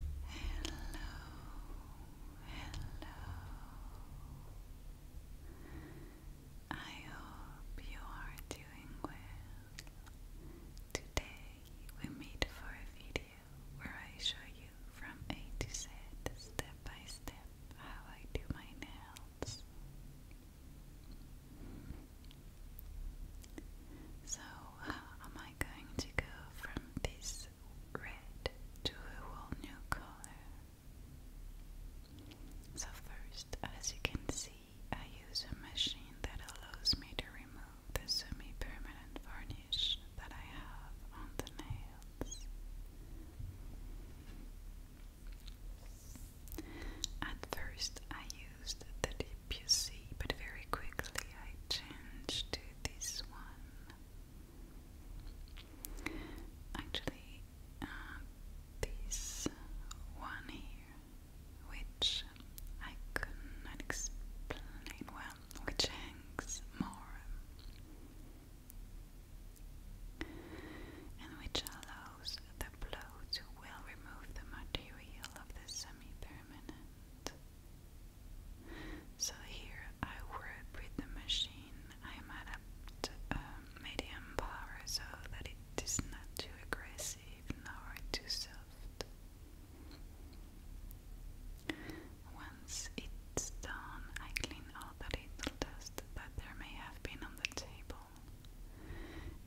hello. I hope you are doing well. Today we meet for a video where I show you from A to Z, step by step, how I do my nails. So, how uh, am I going to go from this red to a whole new color. So first, as you can see, I use a machine that allows me to remove the semi-permanent varnish that I have on the nails. At first I used the DPC, but very quickly I changed to this one. Actually, uh, this one here, which I could not explain well, which hangs more and which allows the blow to well remove the material of the semi-permanent. So here I work with the machine. I'm at a um, medium power so that it is not too aggressive nor too soft. Once it's done, I clean all the little dust that there may have been on the table.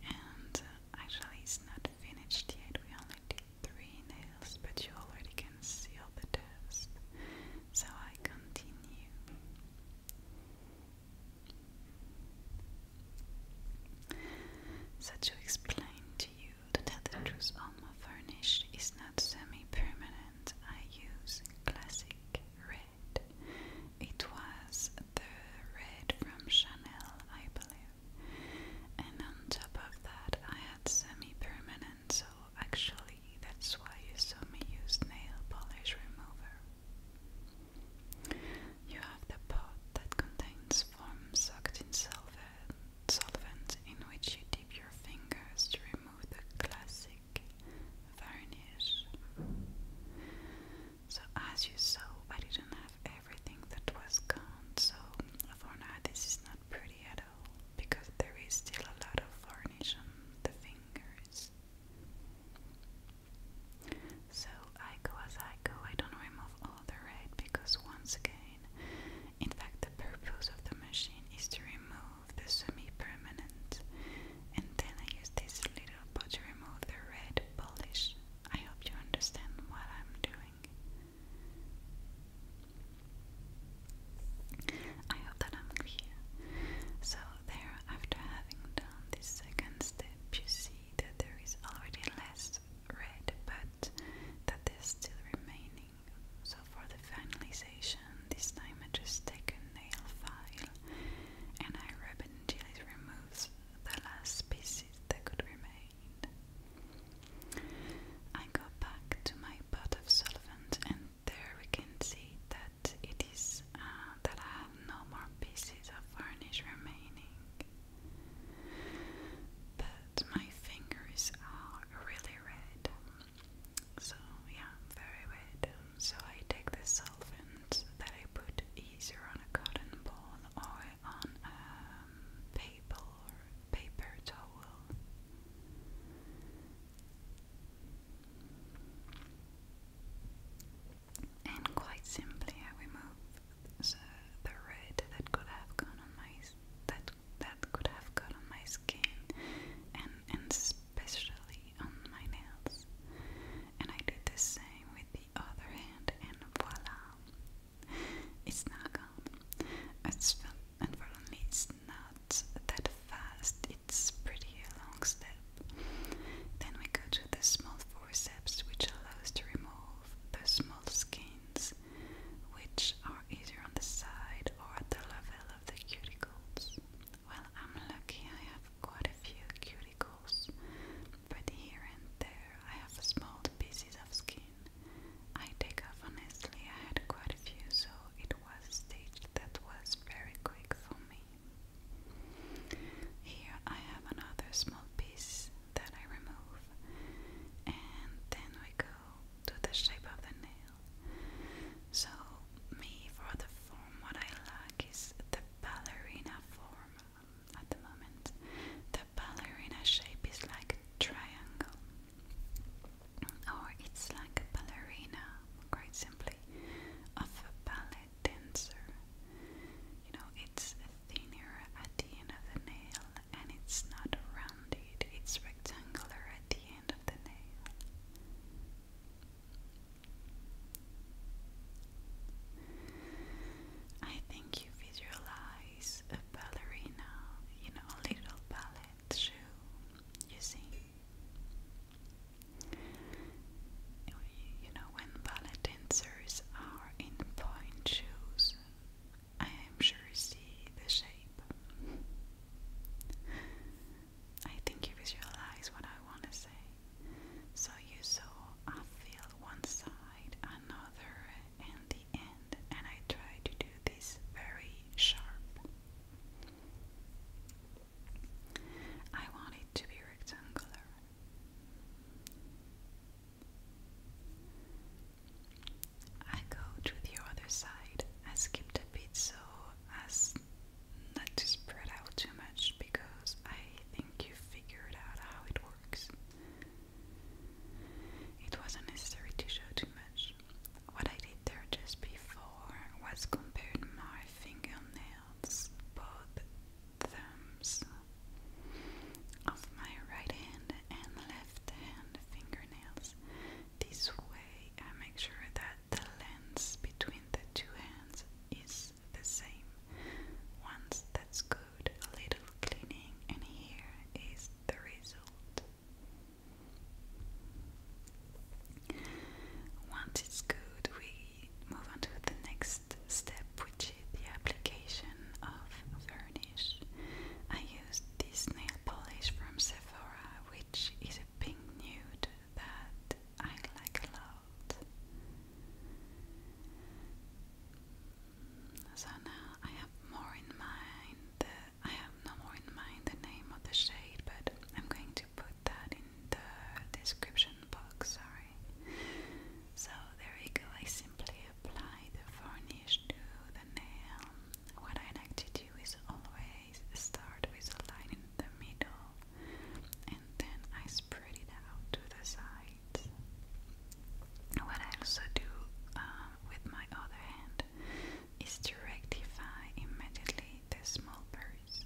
And uh, actually, it's not finished yet, 93 nails, but you already can see all the dust, so I continue. So to explain to you that the Truth Alma varnish is not semi-permanent, I use classic red. It was the red from Chanel, I believe. And on top of that, I had semi permanent, so actually, that's why you saw me use nail polish remover. You have the pot that contains foam soaked in solvent, solvent in which you dip your fingers to remove the classic varnish. So, as you saw, I didn't have everything that was gone, so this is not pretty at all because there is still a lot of varnish on the fingers. So I go as I go, I don't remove all the red because once again, in fact the purpose of the machine is to remove the semi-permanent and then I use this little pot to remove the red polish. I hope you understand what I'm doing. I hope that I'm clear. So there, after having done this second step, you see that there is already less red, but that there's still remaining. So for the finalization, this time I just take a nail file and I rub it until it removes the last pieces that could remain. I go back to my pot of solvent, and there we can see that it is uh, that I have no more pieces of varnish remaining. But my fingers are really red, so yeah, very red. So I take the solvent that I put easier on a cotton ball or on um, paper or paper towel. And quite simply, I remove the red that could have gone on my that that could have gone on my skin, and and especially on my nails. And I did the same with the other hand, and voila, it's not gone. It's fun, and for me, it's not that fast. It's pretty a long step. Then we go to the small forceps, which allows to remove the small skins, which are easier on the side or at the level of the cuticles. Well, I'm lucky. I have quite a few cuticles, but here and there I have small pieces of skin. I take off honestly, I had quite a few, so it was a that was very quick for me. Here I have another small piece that I remove, and then we go to the shape of the nail. So, me for the form, what I like is the ballerina form at the moment. The ballerina shape is like a triangle, or it's like a ballerina, quite simply, of a ballet dancer. You know, it's thinner at the end of the nail and it's not rounded, it's rectangular at the end of the nail. I think you visualize is a ballerina, you a little ballet shoe, you see. You know, when ballet dancers are in point shoes, I am sure you see the shape. I think you visualize what I want to say. So you saw I feel one side, another, and the end, and I try to do this very sharp. I want it to be rectangular. I go to the other side. I skipped a bit so as not to spread out too much because I think you figured out how it works. It wasn't necessary to show too much. What I did there just before was compared my fingernails, both thumbs of my right hand and left hand fingernails. This way I make sure that the length between the two hands is the same. Once that's good, a little cleaning, and here is the result. Once it's good, we move on the next step, which is the application of varnish. I used this nail polish from Sephora, which is a pink nude that I like a lot. So now I have more in mind. The, I have no more in mind the name of the shade, but I'm going to put that in the description box. Sorry. So there you go. I simply apply the varnish to the nail. What I like to do is always start with a line in the middle, and then I spread it out to the side. What I also do uh, with my other hand is to rectify immediately the small burrs.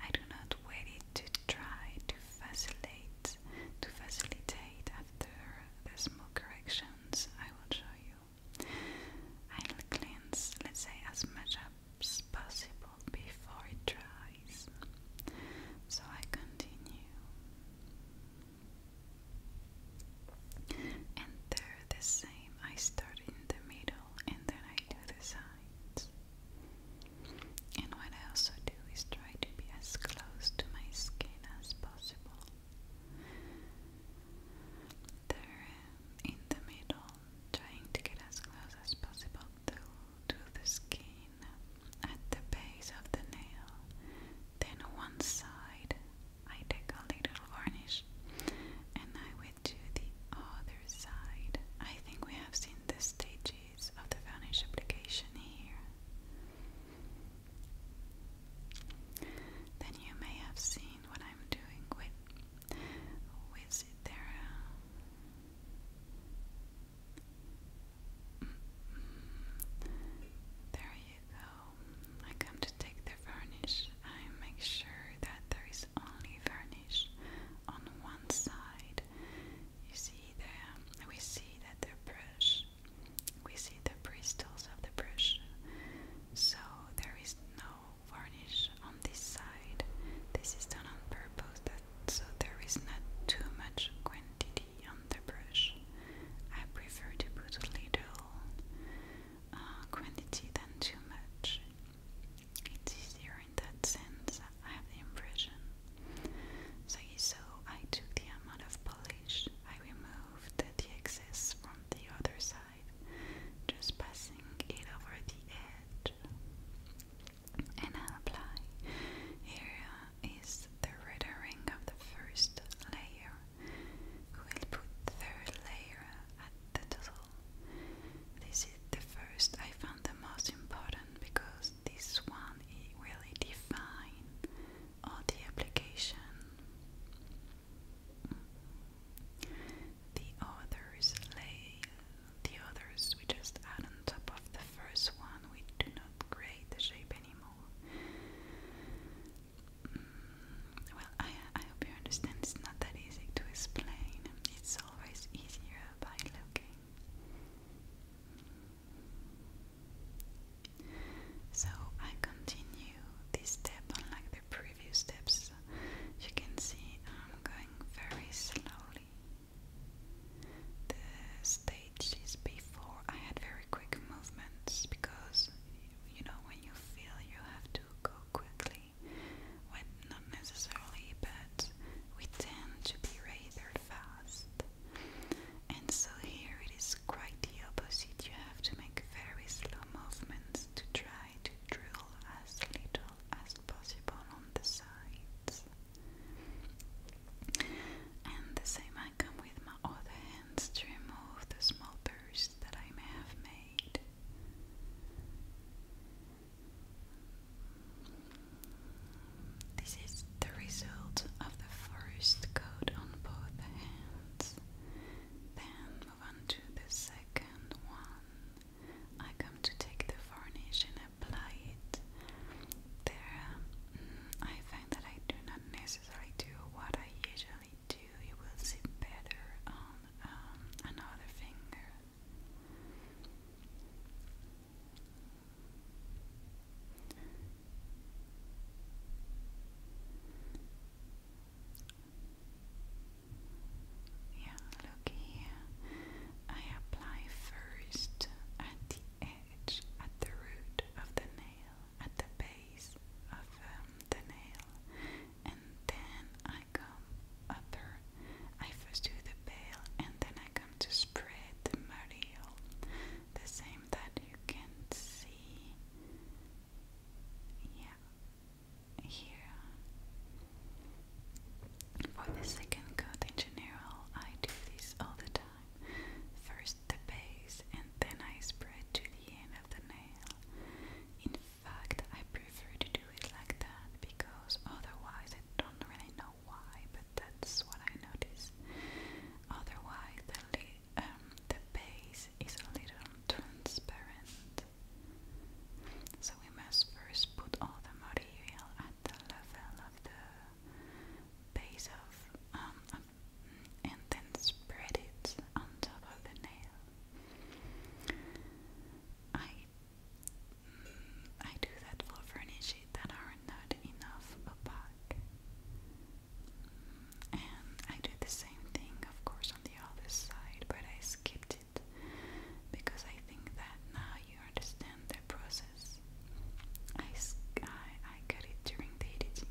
I do not wait to try to facilitate to facilitate after the small corrections I will show you. I'll let's say as much as possible before it dries. So I continue and they're the same. I start in the middle and then I do the sides. And what I also do is try to be as close to my skin as possible. There uh, in the middle, trying to get as close as possible to, to the skin at the base of the nail. Then one side I take a little varnish and I went to the other side. I think we have seen the stages of the varnish application here. Then you may have seen what I'm doing with with there there you go. I come to take the varnish. I make sure that there is only varnish on one side. You see the we see that the brush we see the bristles of the brush. So there is no varnish on this side. This is done on purpose so there is not too much quantity the underbrush. I prefer to put a little uh, quantity than too much. It's easier in that sense, I have the impression. So I took the amount of polish, I removed the excess from the other side, just passing it over the edge. And I apply here is the rendering of the first layer. We will put third layer at the total. This is the first I found the most important because this one really define all the application. The others lay the others we just add on top of the first one we do not create the shape anymore well, I, I hope you understand it's not that easy to explain. It's always easier by looking. So I continue this step unlike the previous steps. You can see I'm going very slowly. The stages before I had very quick movements because you know when you feel you have to go quickly, when not necessarily, but we tend to be rather fast. And so here it is quite the opposite. You have to make very slow movements to try to drill as little as possible on the sides. And the same I come with my other hands to remove the small burrs that I may have made. This is the result of the first coat on both hands. Then move on to the second one. I come to take the varnish and I apply it there. Mm, I find that I do not necessarily do what I usually do. You will see better on um, another finger. Yeah, look here. I apply first at the at the root of the nail, at the base of um, the nail, and then I come upper. I first do the bale, and then I come to spread the material, the same that you can see. Yeah, here. For the second coat in general, I do this all the time first the base and then I spread to the end of the nail. In fact, I prefer to do it like that because otherwise I don't really know why, but that's what I notice. Otherwise, the, um, the base is a little transparent. So we must first put all the material the level of the base of, and um, um, then spread it on top of the nail. I I do that for furniture that are not enough opaque. And I do the same thing, of course, on the other side, but I skipped it because I think that now you understand the process I, I, I it during the editing.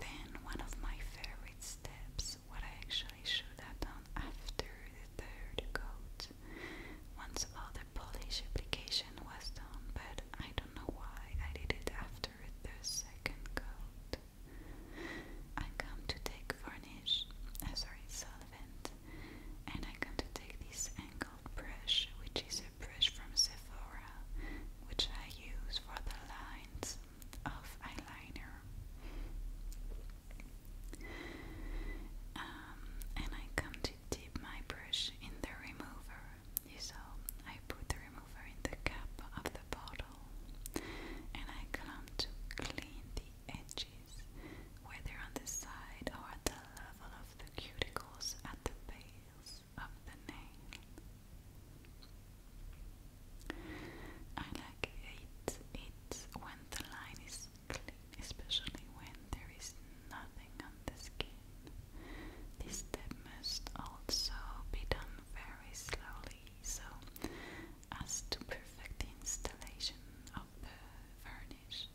Then, one of my favorite steps, what I actually should have done after the third coat, once all the polish application was done, but I don't know why I did it after the second coat. I come to take varnish, uh, sorry, solvent, and I come to take this angle brush, which is a brush from Sephora, which I use for the lines of eyeliner. Um, and I come to dip my brush in the remover. You I put the remover in the cap of the bottle, and I come to clean the edges, whether on the side or at the level of the cuticles at the base of the nail. I like it, it when the line is clean, especially when there is nothing on the skin. This step must also be done very slowly so as to perfect the installation of the varnish.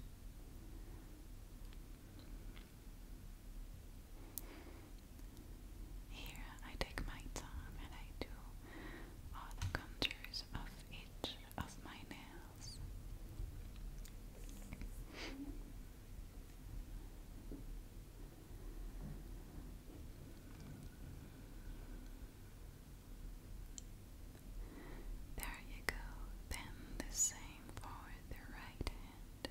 Here I take my time and I do all the contours of each of my nails. There you go. Then the same for the right hand.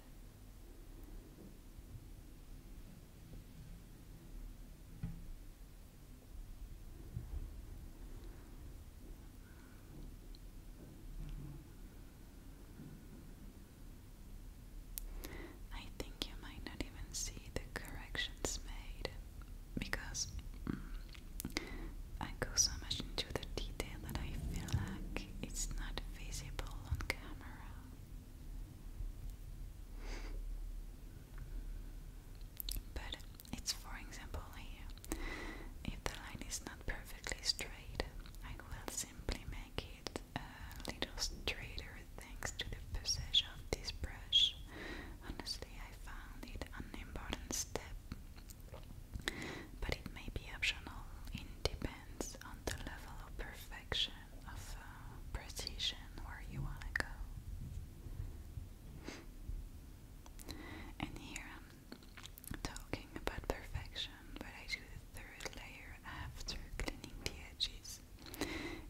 I think you might not even see the corrections made because mm, I go so much into the detail that I feel like it's not visible on camera. But it's for example here. If the line is not perfectly straight, I will simply make it a little straighter thanks to the passage of this brush. Honestly, I found it an important step but it may be optional, it depends on the level of perfection, of uh, precision, where you want to go. And here I'm talking about perfection, but I do the third layer after cleaning the edges.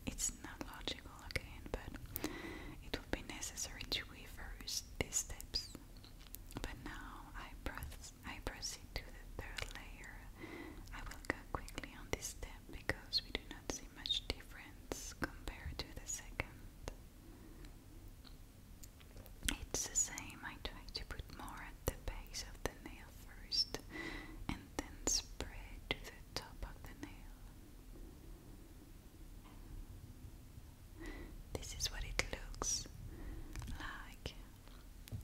It's not logical again, but it will be necessary to reverse these steps but now I press I proceed to the third layer. I will go quickly on this step because we do not see much difference compared to the second. It's the same, I try to put more at the base of the nail first and then spread to the top of the nail. This is what it looks like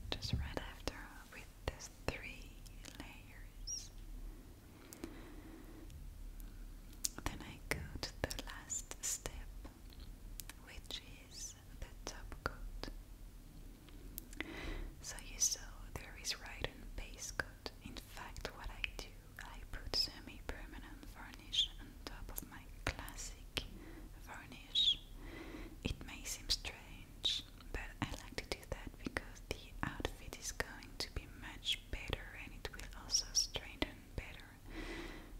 just right after with these three layers. Then I go to the last step, which is the top coat. So you saw there is right and base coat. In fact, what I do I put semi-permanent varnish on top of my classic varnish. It may seem strange, but I like to do that because the outfit is going to be much better and it will also strengthen better.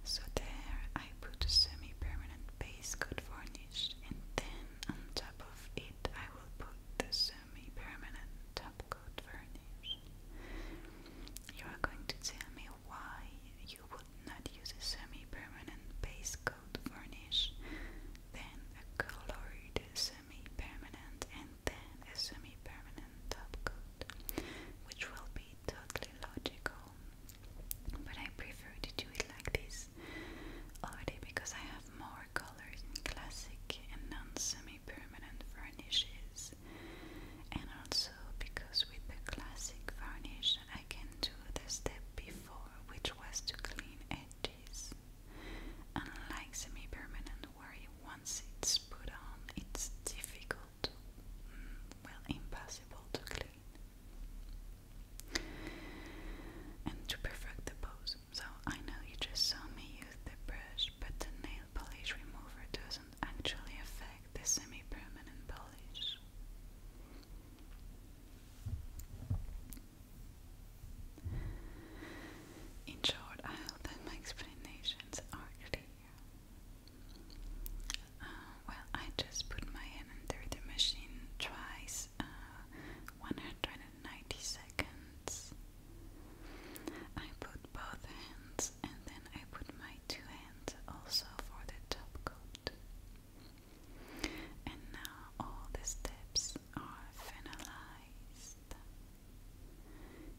So there I put a semi-permanent base coat varnish and then on top of it I will put the semi-permanent top coat varnish. You are going to tell me why you would not use a semi-permanent base coat varnish, then a colored semi-permanent, and then a semi-permanent top coat, which will be totally logical. But I prefer to do it like this already because I have more colors in classic and non-semi-permanent varnishes and also because with the classic varnish I can do the step before which was to clean edges unlike semi-permanent where once it's put on it's difficult mm, well impossible to clean and to perfect the pose so I know you just saw me use the brush but the nail polish remover doesn't actually affect the semi-permanent polish. In short, I hope that my explanations are clear. Uh, well, I just put my hand under the machine twice, uh, 190 seconds. I put both hands this and then I put my two hands also for the top coat. And now all the steps are finalized.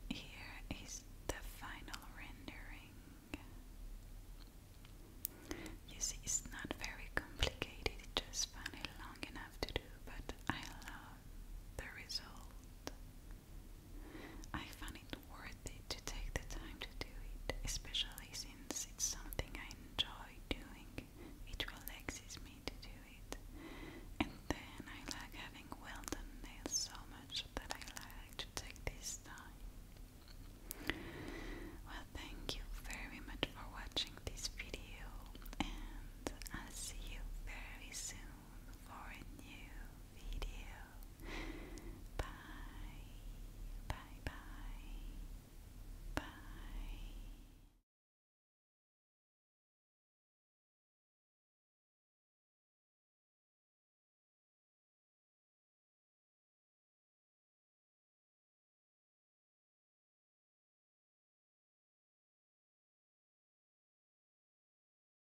Here is the final rendering. You see, it's not very complicated, just found long enough to do, but I love the result. I found it worth to take the time to do it, especially since it's something I enjoy doing. It relaxes me to do it. And then I like having well done nails so much that I like to take this time. Well, thank you very much for watching this video, and I'll see you very soon for a new video. Bye, bye, bye, bye.